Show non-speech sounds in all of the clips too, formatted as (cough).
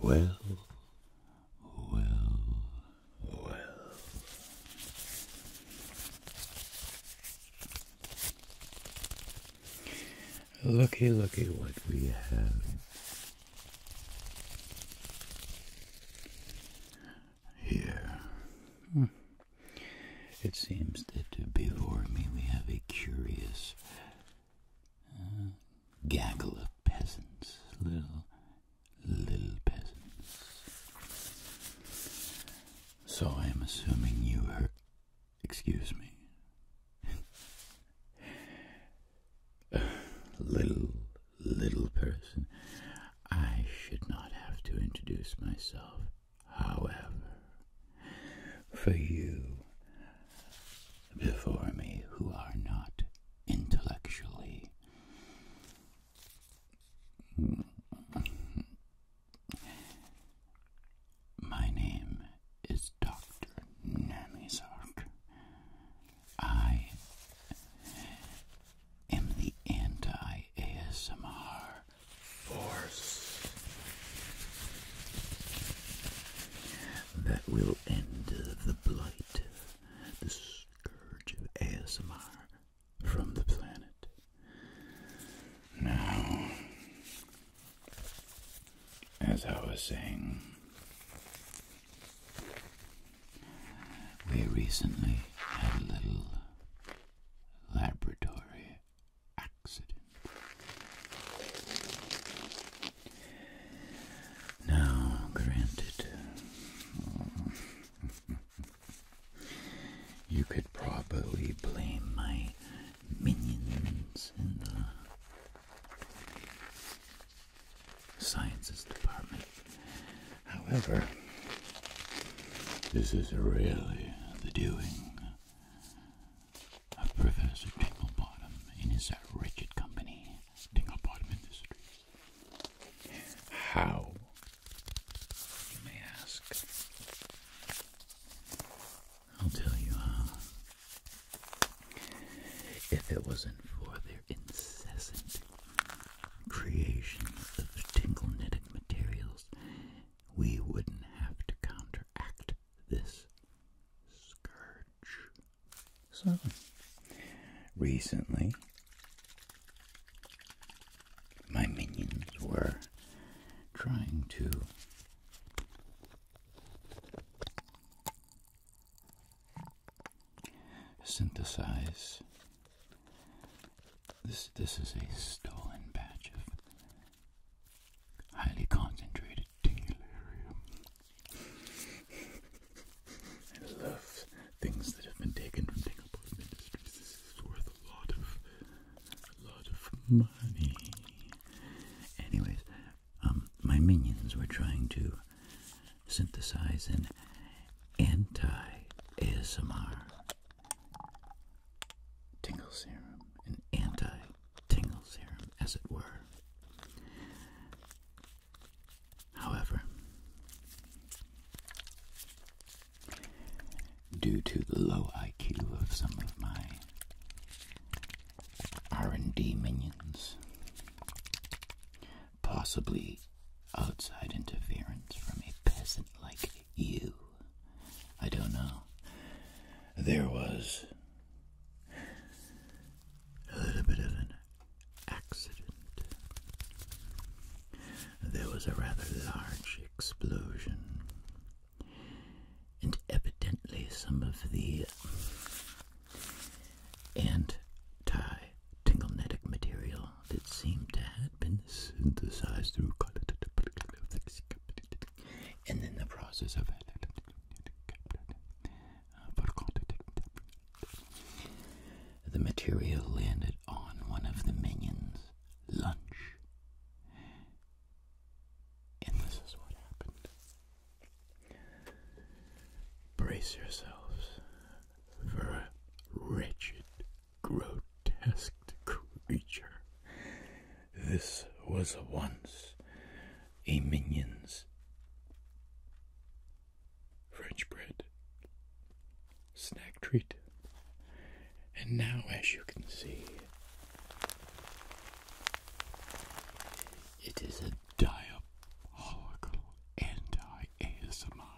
Well, well, well. Looky, looky what we have. Here. Hmm. It seems that before me we have a curious uh, gaggle of peasants, little, little peasants. So I am assuming you are, excuse me, (laughs) little, little person. I should not have to introduce myself. However, for you before me who are not intellectually my name is Dr. Namizark. I am the anti ASMR force that will end the blight, the scourge of ASMR from the planet. Now, as I was saying, we recently had a little laboratory accident. Now, granted, (laughs) you could probably blame my minions in the sciences department However, this is really the doing of Professor Tinglebottom in his wretched company, Tinglebottom Industries. How, you may ask? I'll tell you how. If it wasn't for their incessant creations of tingle knitted materials, we wouldn't have to counteract this scourge. So, recently, my minions were trying to synthesize this this is a stolen batch of highly concentrated delirium. I love things that have been taken from Dingleport Industries. This is worth a lot of a lot of money. Anyways, um, my minions were trying to synthesize an anti ASMR tingle serum, an anti-tingle serum, as it were. However, due to the low IQ of some of my R&D minions, possibly outside interference from a peasant like you. I don't know. There was a little bit of an accident. There was a rather large explosion, and evidently some of the anti tingle material that seemed to have been synthesized through and then the process of the material landed on one of the minions' lunch. And this is what happened. Brace yourselves for a wretched, grotesque creature. This was once a minion's French bread snack treat. And now, as you can see, it is a diabolical anti ASMR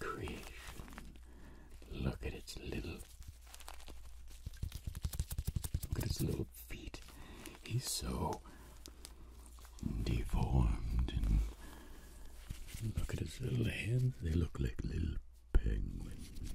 creation. Look at its little look at its little feet. He's so deformed and look at his little hands, they look like little penguins.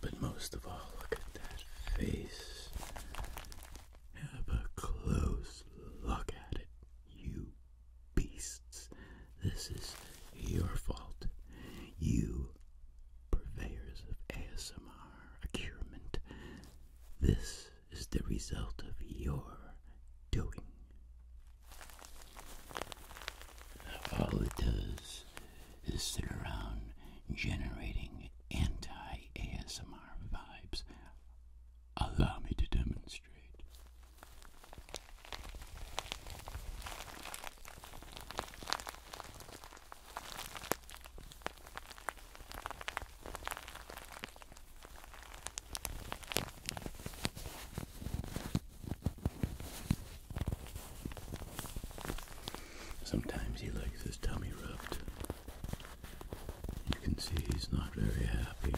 But most of all, look at that face. Have a close look at it, you beasts. This is your fault. You purveyors of ASMR accurement. This is the result of your doing. All it does is sit around generating anti ASMR vibes. Allow me to demonstrate. Sometimes he likes his tummy rubbed. You can see he's not very happy.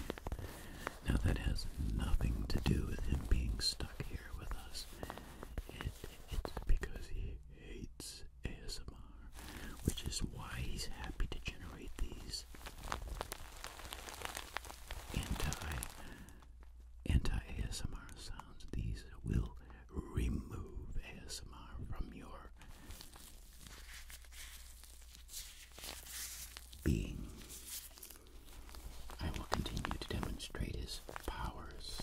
Now, that has nothing to do with him being stuck here with us. It, it's because he hates ASMR, which is why he's happy to generate these anti anti ASMR sounds. These will remove ASMR from your being. I will continue to demonstrate his powers.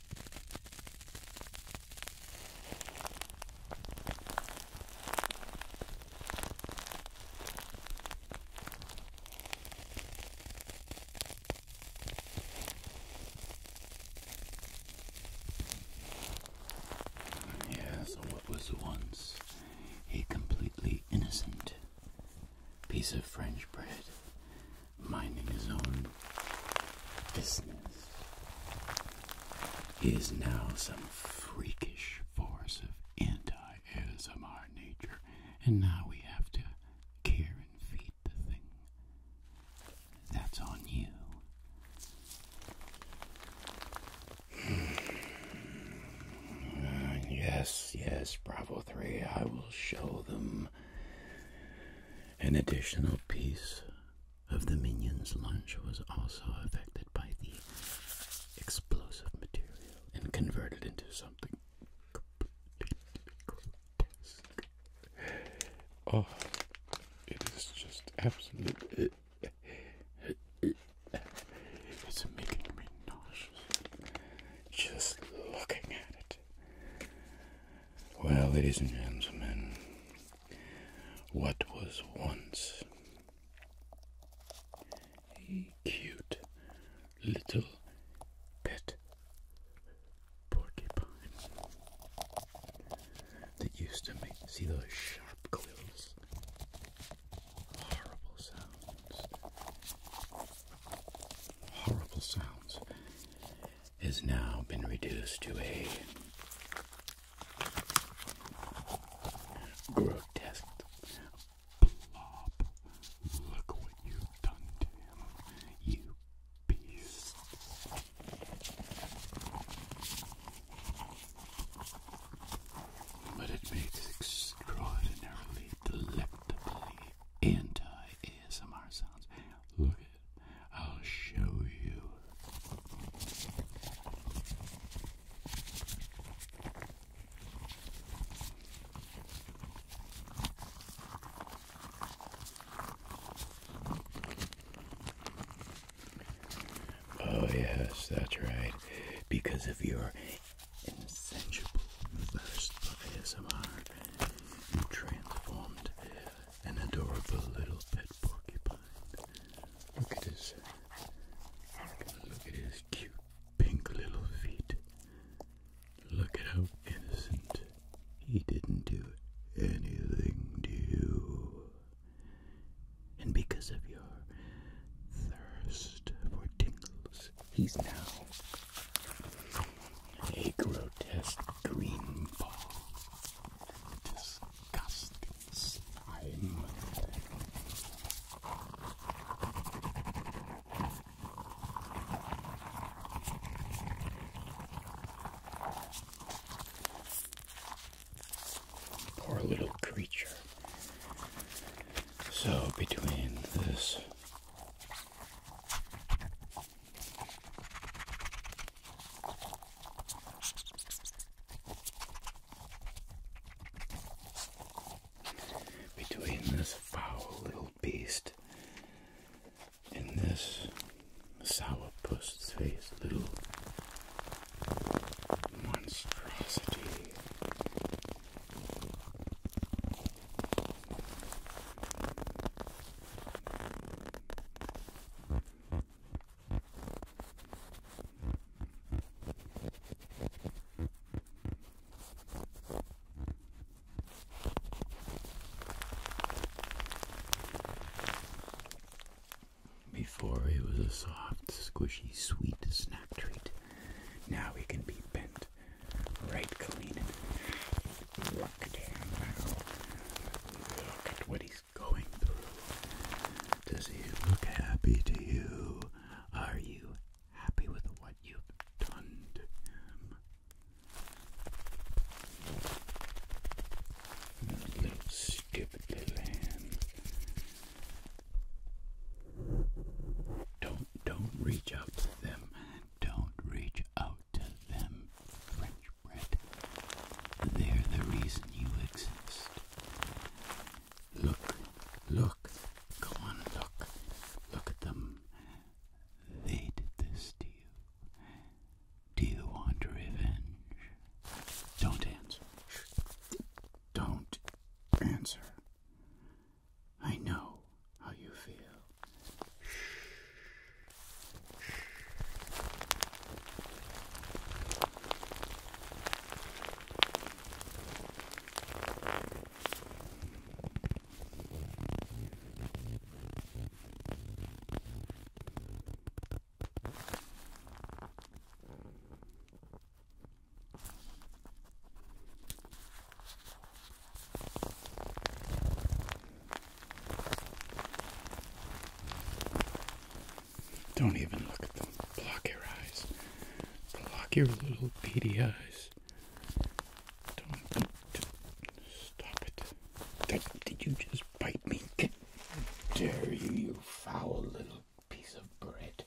Yeah, so what was once a completely innocent piece of French bread, minding his own business. Is now some freakish force of anti ism our nature, and now we have to care and feed the thing. That's on you. Mm. yes, yes, Bravo 3, I will show them an additional piece of the minion's lunch was also affected by the explosive material and converted into something Oh, it is just absolutely. It's making me nauseous just looking at it. Well, ladies and gentlemen, what was once a cute little pet porcupine that used to make, see those sharp quills, horrible sounds horrible sounds has now been reduced to a grotesque blob. Look what you've done to him, you beast. But it makes extraordinarily delectably anti ASMR sounds. Look it, I'll show you. Oh, yes, that's right. Because of your and sensual thirst ASMR, you transformed an adorable little pet porcupine. Look at his, look at his cute pink little feet. Look at how innocent. He didn't do anything to you. And because of your thirst for tingles, He's now a grotesque green ball. Disgusting slime. Poor little creature. So, between this between this foul little beast and this sourpuss face little monstrosity before it was a soft, squishy, sweet snack treat. Now he can be bent right clean. Look at him now. Look at what he's going through. Does he look happy to you? Are you happy with what you've done to him? little stupid little hand. Don't don't reach out to them. Don't reach out to them, French bread. They're the reason you exist. Look, look, go on, look. Look at them. They did this to you. Do you want revenge? Don't answer. Don't answer. I know how you feel. Don't even look at them. Block your eyes. Block your little beady eyes. Don't, do stop it. did you just bite me? Dare you, you foul little piece of bread.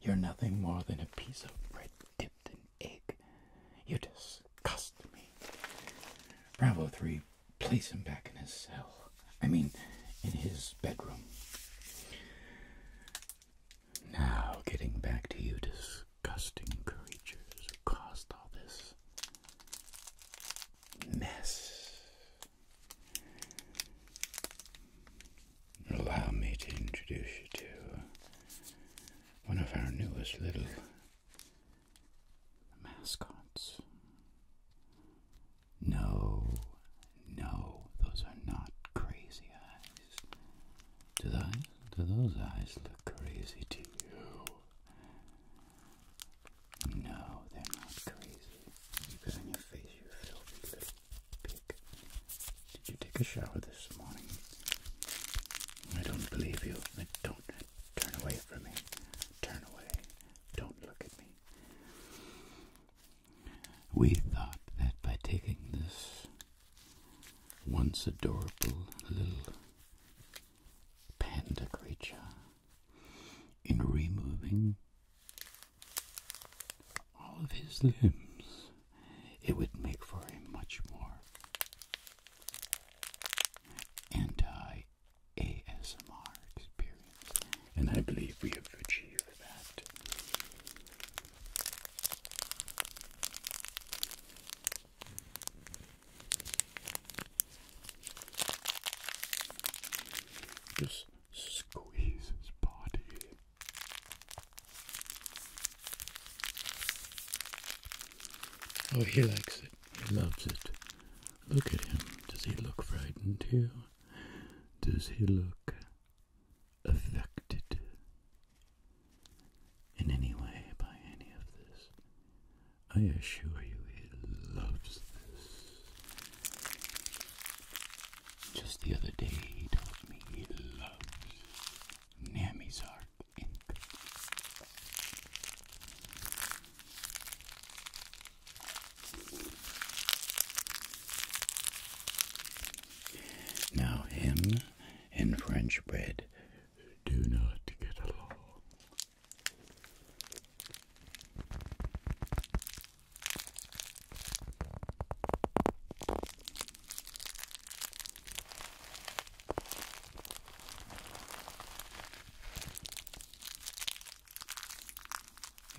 You're nothing more than a piece of bread dipped in egg. You disgust me. Bravo 3, place him back in his cell. I mean, in his bedroom. Now, getting back to you disgusting creatures who caused all this mess. Allow me to introduce you to uh, one of our newest little mascots. No, no, those are not crazy eyes. Do, those eyes look crazy to you? No, they're not crazy. Keep it your face, you filthy little pig. Did you take a shower this morning? I don't believe you. Don't turn away from me. Turn away. Don't look at me. We thought that by taking this once adorable little panda creature in removing all of his limbs, it would make for a much more anti ASMR experience. And I believe we have achieved that. Just squeeze his body. Oh, he likes it. He loves it. Look at him. Does he look frightened to Does he look affected in any way by any of this? I assure you he loves this. Just the other day, he told me he loves Nami's ink. Now, him and French bread do not get along.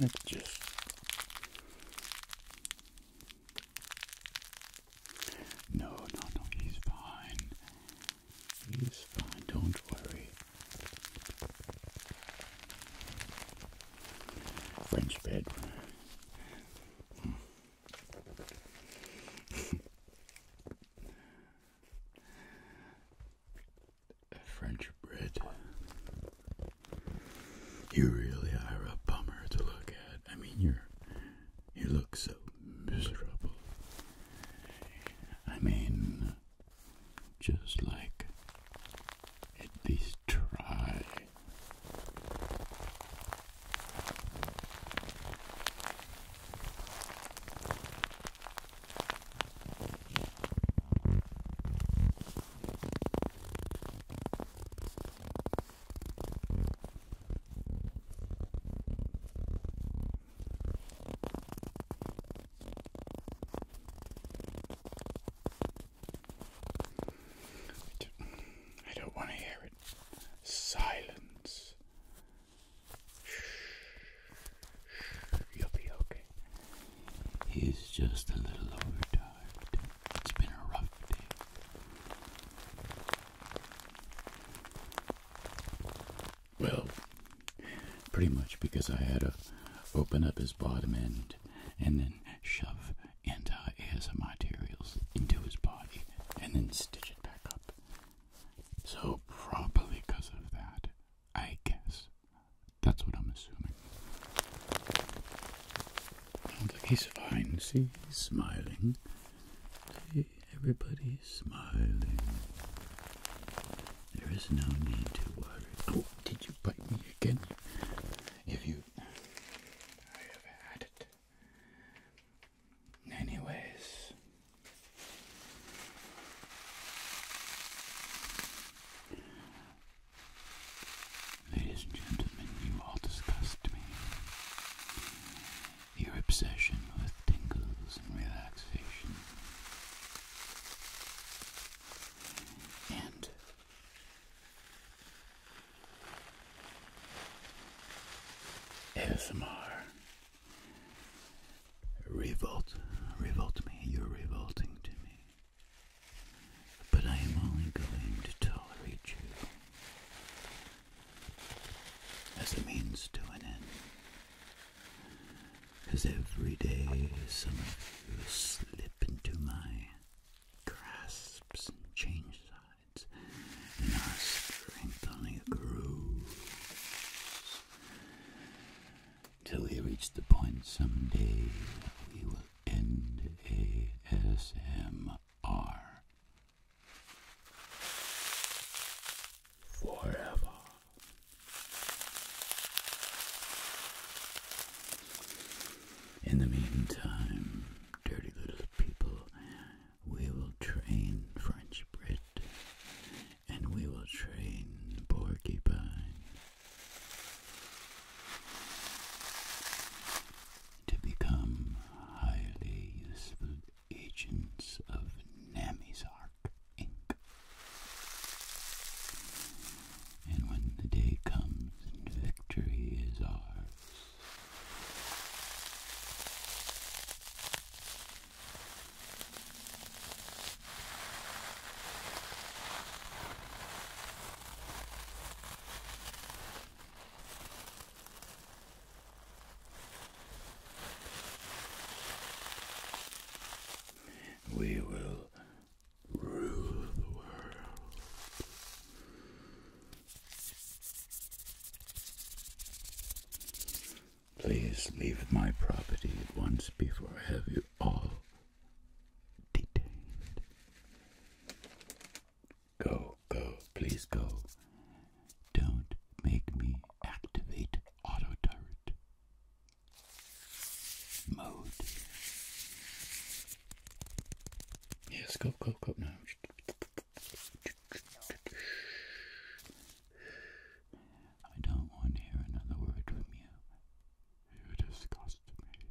Let's just no, no, no, he's fine. He's fine, don't worry. French bread. French bread. You really are a bummer to look at. I mean, you're you look so miserable. I mean, just like at least try. I don't want to hear it. Silence. You'll be okay. He's just a little overtired. It's been a rough day. Well, pretty much because I had to open up his bottom end and then shove anti-ASM materials into his body and then stitch it back up. So probably because of that, I guess. That's what I'm assuming. I like he's fine. See, he's smiling. See, everybody's smiling. There is no need to worry. Oh, did you bite me again? If you. I have had it. Anyways. Ladies and gentlemen, you all disgust me. Your obsession with tingles and relaxation. And ASMR revolt, revolt me, you're revolting to me. But I am only going to tolerate you as a means to an end. 'Cause every day some of you slip into my grasp and change sides, and our strength only grows. Till we reach the point someday that we will end ASMR forever. In the meantime, dirty little people, we will train French Brit and we will train porcupine to become highly useful agents of Namizar. And when the day comes and victory is ours, we will rule the world. Please leave my property once before I have you all detained. Go, go, please go. Don't make me activate auto turret mode. Yes, go, go, go now. I don't want to hear another word from you. You disgust me.